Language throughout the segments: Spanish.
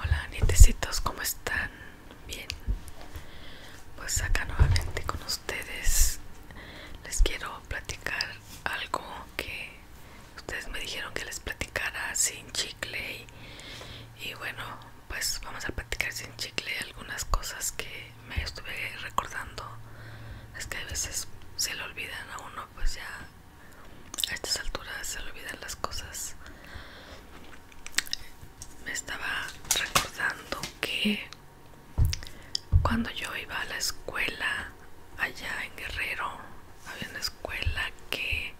Hola nietecitos, ¿cómo están? Bien, pues acá nuevamente con ustedes les quiero platicar algo que ustedes me dijeron que les platicara sin chicle y, y bueno, pues vamos a platicar sin chicle algunas cosas que me estuve recordando. Es que a veces se le olvidan a uno pues ya a estas alturas se olvidan las cosas. Me estaba recordando que cuando yo iba a la escuela allá en Guerrero, había una escuela que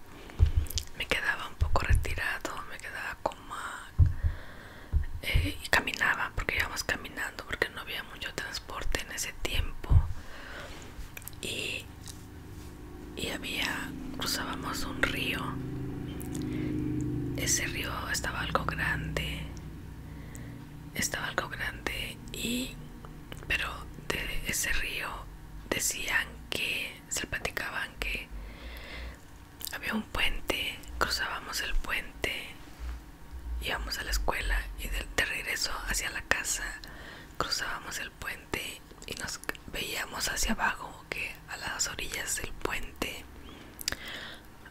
me quedaba un poco retirado, me quedaba como eh, y caminaba porque íbamos caminando porque no había mucho transporte en ese tiempo y y había cruzábamos un río ese río estaba algo grande estaba algo grande y pero de ese río decían que se platicaban que había un puente cruzábamos el puente íbamos a la escuela y de, regreso hacia la casa cruzábamos el puente y nos veíamos hacia abajo que a las orillas del puente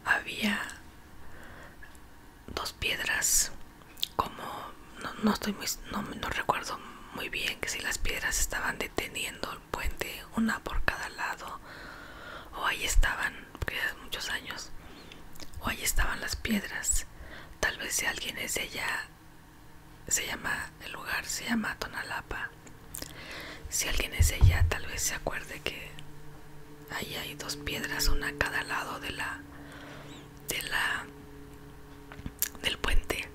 había dos piedras como no, estoy muy no, no recuerdo muy bien que si las piedras estaban deteniendo el puente una por cada lado o ahí estaban porque hace muchos años o ahí estaban las piedras tal vez si alguien es ella, se llama, el lugar se llama Tonalapa. Si alguien es ella, tal vez se acuerde que ahí hay dos piedras, una a cada lado de la, de la, del puente.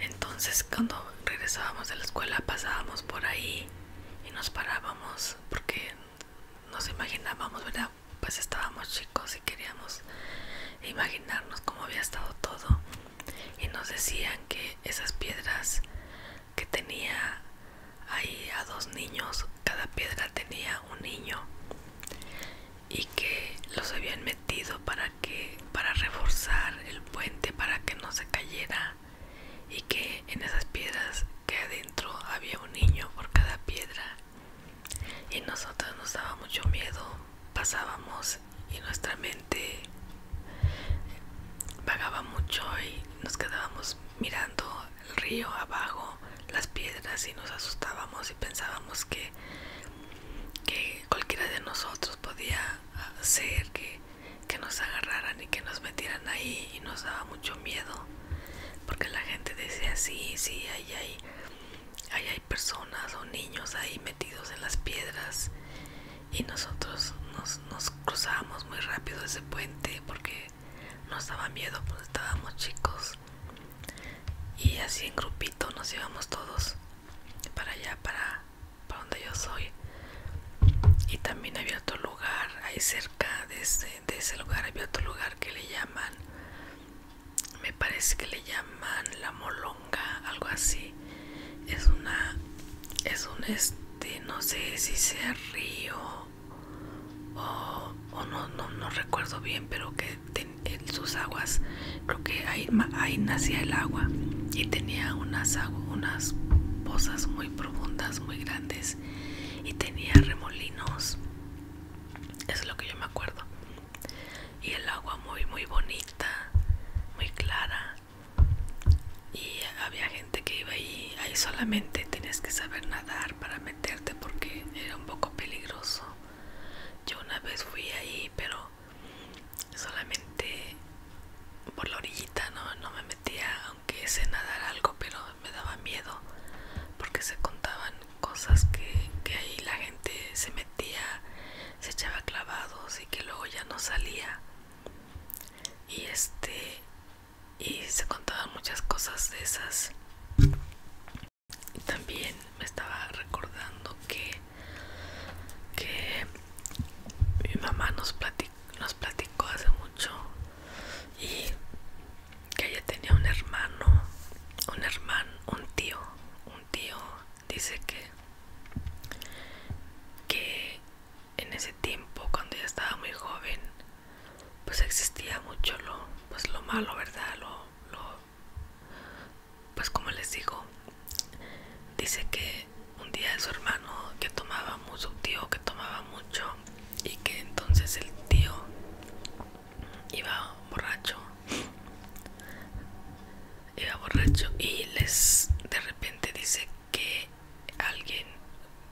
Entonces cuando regresábamos de la escuela pasábamos por ahí y nos parábamos porque nos imaginábamos, ¿verdad? pues estábamos chicos y queríamos imaginarnos cómo había estado todo y nos decían que esas piedras que tenía ahí a dos niños, cada piedra tenía un niño y que los habían metido para que para reforzar el puente para que no se cayera y que en esas piedras que adentro había un niño por cada piedra y nosotros nos daba mucho miedo pasábamos y nuestra mente vagaba mucho y nos quedábamos mirando el río abajo las piedras y nos asustábamos y pensábamos que, que cualquiera de nosotros podía hacer que nos agarraran y que nos metieran ahí y nos daba mucho miedo porque la gente decía sí, sí, ahí hay, hay personas o niños ahí metidos en las piedras y nosotros nos, nos cruzábamos muy rápido ese puente porque nos estaba miedo porque estábamos chicos y así en grupito nos llevamos todos para allá, para, donde yo soy y también había otro lugar ahí cerca de este de, ese lugar había otro lugar que le llaman, me parece que le llaman la molonga, algo así. Es una, es un este, no sé si sea río o, no, no, recuerdo bien, pero que en sus aguas, creo que ahí, ahí nacía el agua y tenía unas unas pozas muy profundas, muy grandes y tenía remolinos es lo que yo me acuerdo. Y el agua muy, muy bonita, muy clara. Y había gente que iba ahí, ahí solamente tienes que saber nadar para meterte porque era un poco peligroso. Yo una vez fui ahí, pero solamente por la orillita, no, no me metía que se nadar algo, pero me daba miedo porque se contaban cosas que, ahí la gente se metía, se echaba clavados y que luego ya no salía. Y este y se contaban muchas cosas de esas. y También me estaba recordando que, que mi mamá nos nos platicó hace mucho y que ella tenía un hermano, un hermano, un tío, un tío dice que en ese tiempo cuando ella estaba muy joven pues existía mucho lo pues lo malo verdad lo, pues como les digo dice que un día su hermano que tomaba mucho su tío que tomaba mucho y que entonces el tío iba borracho iba borracho y les de repente dice que alguien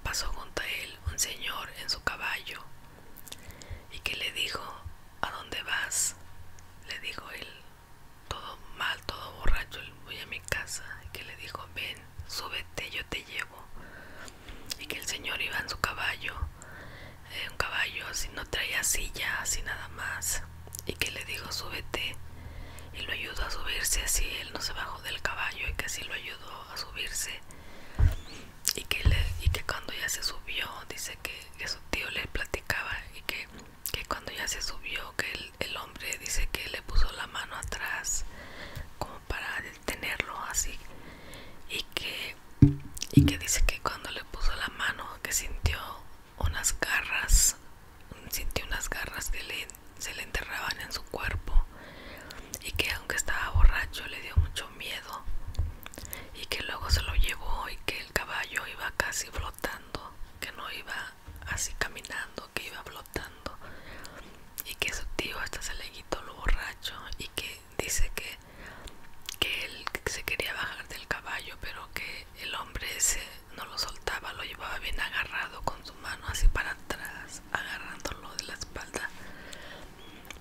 pasó junto a él un señor en su caballo y que le dijo a dónde vas le dijo él todo mal todo borracho voy a mi casa que le dijo ven súbete, yo te llevo. Y que el señor iba en su caballo, eh, un caballo así, no traía silla, así nada más. Y que le dijo, súbete. Y lo ayudó a subirse así, él no se bajó del caballo y que así lo ayudó a subirse. Y que, le, cuando ya se subió, dice que, su tío le platicaba y que, cuando ya se subió, que el, hombre dice que le puso la mano atrás como para tenerlo así y que y que dice que cuando le puso la mano que sintió unas garras sintió unas garras que le, se le enterraban en su cuerpo y que aunque estaba borracho le dio mucho miedo y que luego se lo llevó y que el caballo iba casi flotando que no iba así caminando que iba flotando y que su tío hasta se le quitó lo borracho y que dice que, que él se quería bajar del caballo pero que el hombre ese no lo soltaba, lo llevaba bien agarrado con su mano así para atrás, agarrándolo de la espalda,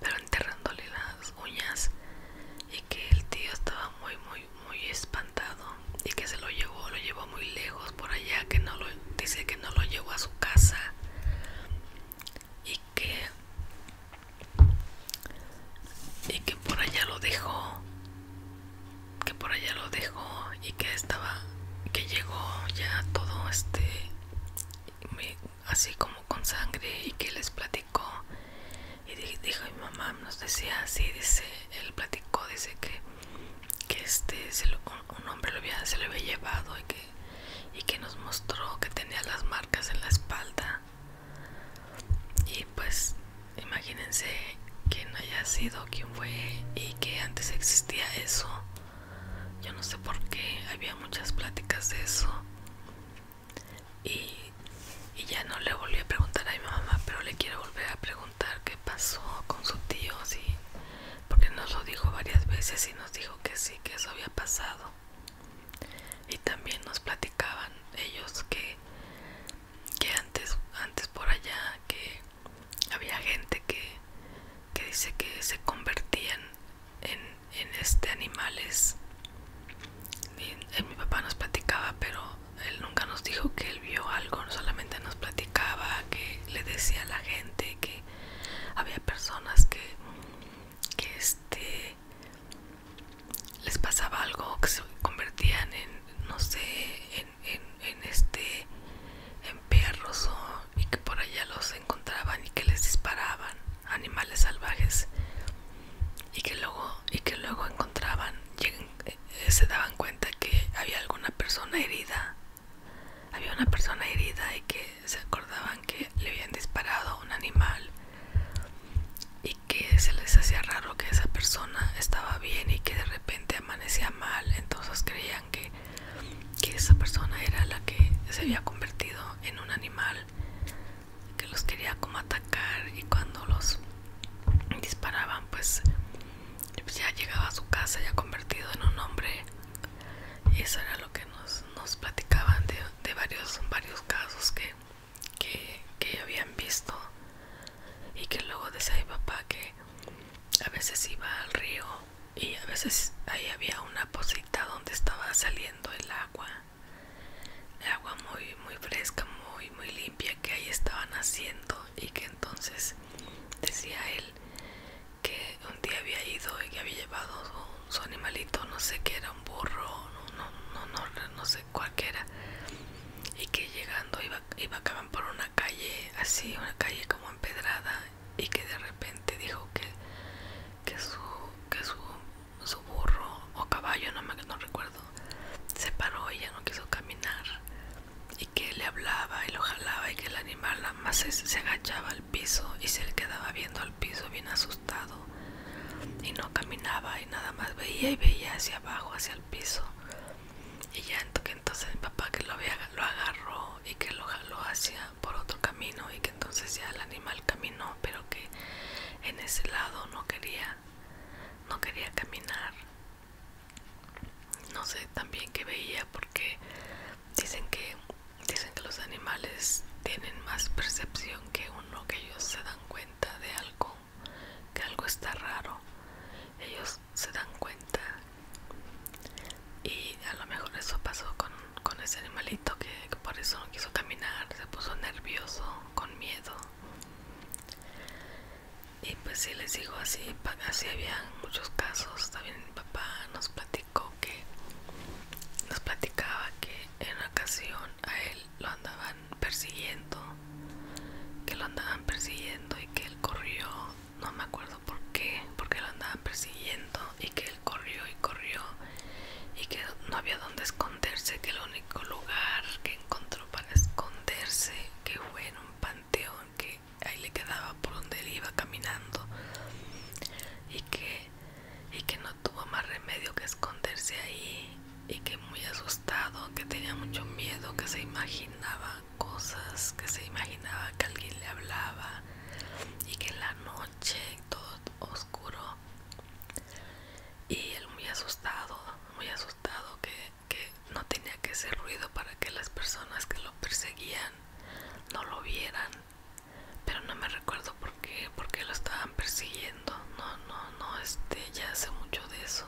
pero enterrándole las uñas y que el tío estaba muy muy muy espantado y que se lo llevó, lo llevó muy lejos por allá, que no lo dice que no lo llevó a su casa y que y que por allá lo dejó que por allá lo dejó y que estaba que llegó ya todo este así como con sangre y que les platicó y dijo mi mamá nos decía así dice él platicó dice que que este un hombre se lo había llevado y que, nos mostró que tenía las marcas en la espalda y pues imagínense quién haya sido quién fue y que antes existía eso yo no sé por qué había muchas pláticas de eso y, ya no le volví a preguntar a mi mamá pero le quiero volver a preguntar qué pasó con su tío porque nos lo dijo varias veces y nos dijo que sí, que eso había pasado. Y también nos platicaban ellos que, que antes, por allá, que había gente que, que dice que se convertían en, este animales. Eh, mi papá nos platicaba, pero él nunca nos dijo que él vio algo, solamente nos platicaba, que le decía a la gente que había personas que, este les pasaba algo que se convertían en no sé en, este en perros y que por allá los encontraban y que les disparaban animales salvajes y que luego y que luego encontraban eh, se daban cuenta que había alguna persona herida había una persona herida y que se acordaban que le habían disparado a un animal y que se les hacía raro que esa persona estaba bien y que de repente amanecía mal. Entonces creían que, esa persona era la que se había convertido en un animal que los quería como atacar y cuando los disparaban pues pues ya llegaba a su casa ya convertido en un hombre y eso era lo que nos, platicaban de, varios, varios casos que, habían visto y que luego decía mi papá que a veces iba al río y a veces ahí había una posita donde estaba saliendo el agua el agua muy muy fresca muy muy limpia que ahí estaban haciendo y que entonces decía él que un día había ido y que había llevado su, animalito, no sé qué era, un burro, no, no, no, no, no sé cualquiera, y que llegando iba, iba acabar por una calle así, una calle como empedrada, y que de repente dijo que, que su, que su, su burro o caballo, no me no recuerdo, se paró y ya no quiso caminar que le hablaba y lo jalaba y que el animal más se, agachaba al piso y se le quedaba viendo al piso bien asustado y no caminaba y nada más veía y veía hacia abajo, hacia el piso y ya entonces mi papá que lo, lo agarró y que lo jaló hacia por otro camino y que entonces ya el animal caminó pero que en ese lado no quería no quería caminar no sé también que veía porque dicen que dicen que los animales tienen más percepción que uno que ellos se dan cuenta de algo que algo está raro ellos se dan cuenta y a lo mejor eso pasó con, ese animalito que por eso no quiso caminar se puso nervioso con miedo y pues si les digo así así habían muchos casos también mi papá nos platicó que nos platicaba que en una ocasión a él lo andaban persiguiendo que lo andaban persiguiendo y que él corrió no me acuerdo por qué porque lo andaban persiguiendo y que él corrió y corrió y que no había donde esconderse que el único lugar que encontró para esconderse que fue en un panteón que ahí le quedaba por donde él iba caminando y que, y que no tuvo más remedio que esconderse ahí y que muy asustado, que tenía mucho miedo, que se imaginaba cosas, que se imaginaba que alguien le hablaba y que en la noche todo oscuro y él muy asustado, muy asustado que que no tenía que hacer ruido para que las personas que lo perseguían no lo vieran pero no me recuerdo por qué porque lo estaban persiguiendo no no no este ya hace mucho de eso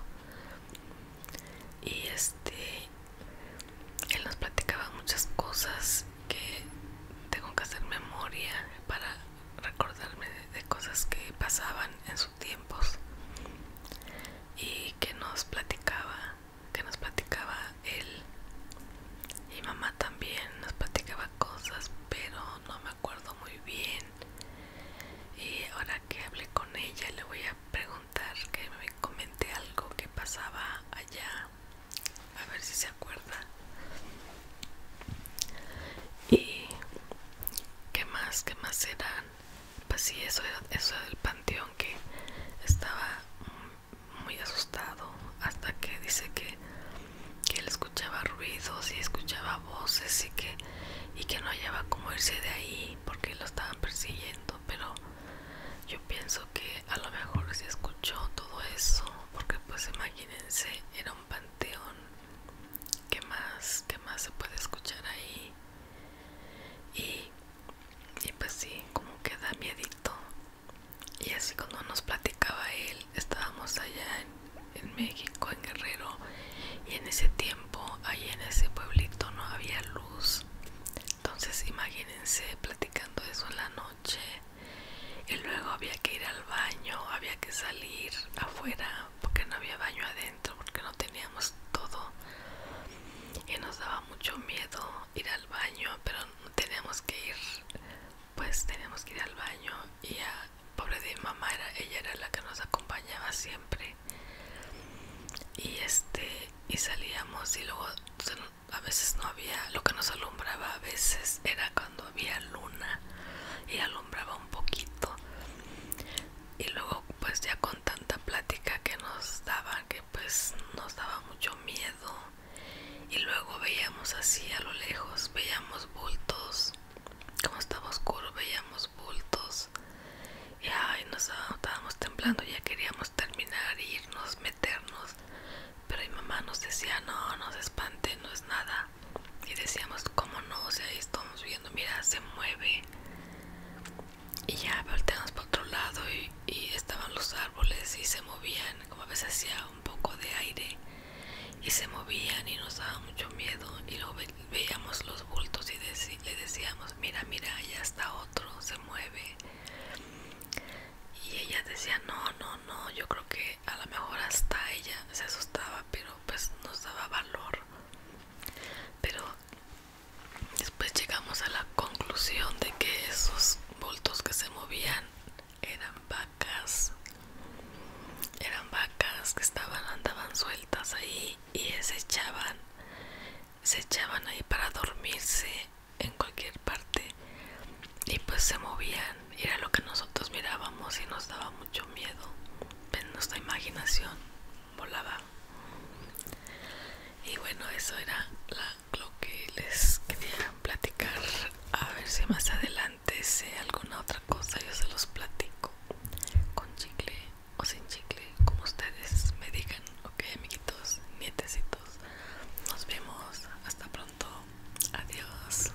y este él nos platicaba muchas cosas que tengo que hacer memoria para recordarme de, de cosas que pasaban en sus tiempos y que nos platicaba que nos platicaba él y mamá también nos platicaba cosas pero no me acuerdo muy bien y ahora que hablé con ella le voy a preguntar que me comente algo que pasaba allá a ver si se acuerda y qué más que más eran pues sí, eso era, eso panteón que estaba muy asustado hasta que dice que, él escuchaba ruidos y escuchaba voces y que, y que no hallaba como irse de ahí porque lo estaban persiguiendo, pero yo pienso que a lo mejor se escuchó todo eso porque pues imagínense, era un panteón. ¿Qué más? ¿Qué más se puede escuchar ahí? y, y pues sí, como queda da miedito. Y así cuando nos platicaba él, estábamos allá en, México, en Guerrero, y en ese tiempo, ahí en ese pueblito no había luz. Entonces imagínense platicando eso en la noche. Y luego había que ir al baño, había que salir afuera porque no había baño adentro porque no teníamos todo y nos daba mucho miedo ir al baño pero tenemos que ir pues tenemos que ir al baño y a pobre de mamá era, ella era la que nos acompañaba siempre y este y salíamos y luego a veces no había lo que nos alumbraba a veces era cuando había luna y alumbraba un poquito y luego pues ya con tanta plática que nos daba que pues nos daba mucho miedo y luego veíamos así a lo lejos veíamos bultos como estaba oscuro veíamos bultos y ay nos estábamos temblando ya queríamos terminar irnos meternos pero mi mamá nos decía no no se espante no es nada y decíamos cómo no o sea ahí estamos viendo mira se mueve y ya volteamos para otro lado y, estaban los árboles y se movían, como a veces hacía un poco de aire y se movían y nos daba mucho miedo y luego veíamos los bultos y le decíamos, mira, mira, ya está otro, se mueve. Y ella decía, no, no, no, yo creo que a lo mejor hasta ella se asustaba, pero pues nos daba valor pero después llegamos a la conclusión de que esos bultos que se movían eran vacas eran vacas que estaban andaban sueltas ahí y se echaban se echaban ahí para dormirse en cualquier parte y pues se movían y era lo que nosotros mirábamos y nos dábamos mucho miedo, pero nuestra imaginación volaba. Y bueno, eso era lo que les quería platicar. A ver si más adelante sé alguna otra cosa, yo se los platico con chicle o sin chicle, como ustedes me digan. Ok, amiguitos, nietecitos, nos vemos. Hasta pronto. Adiós.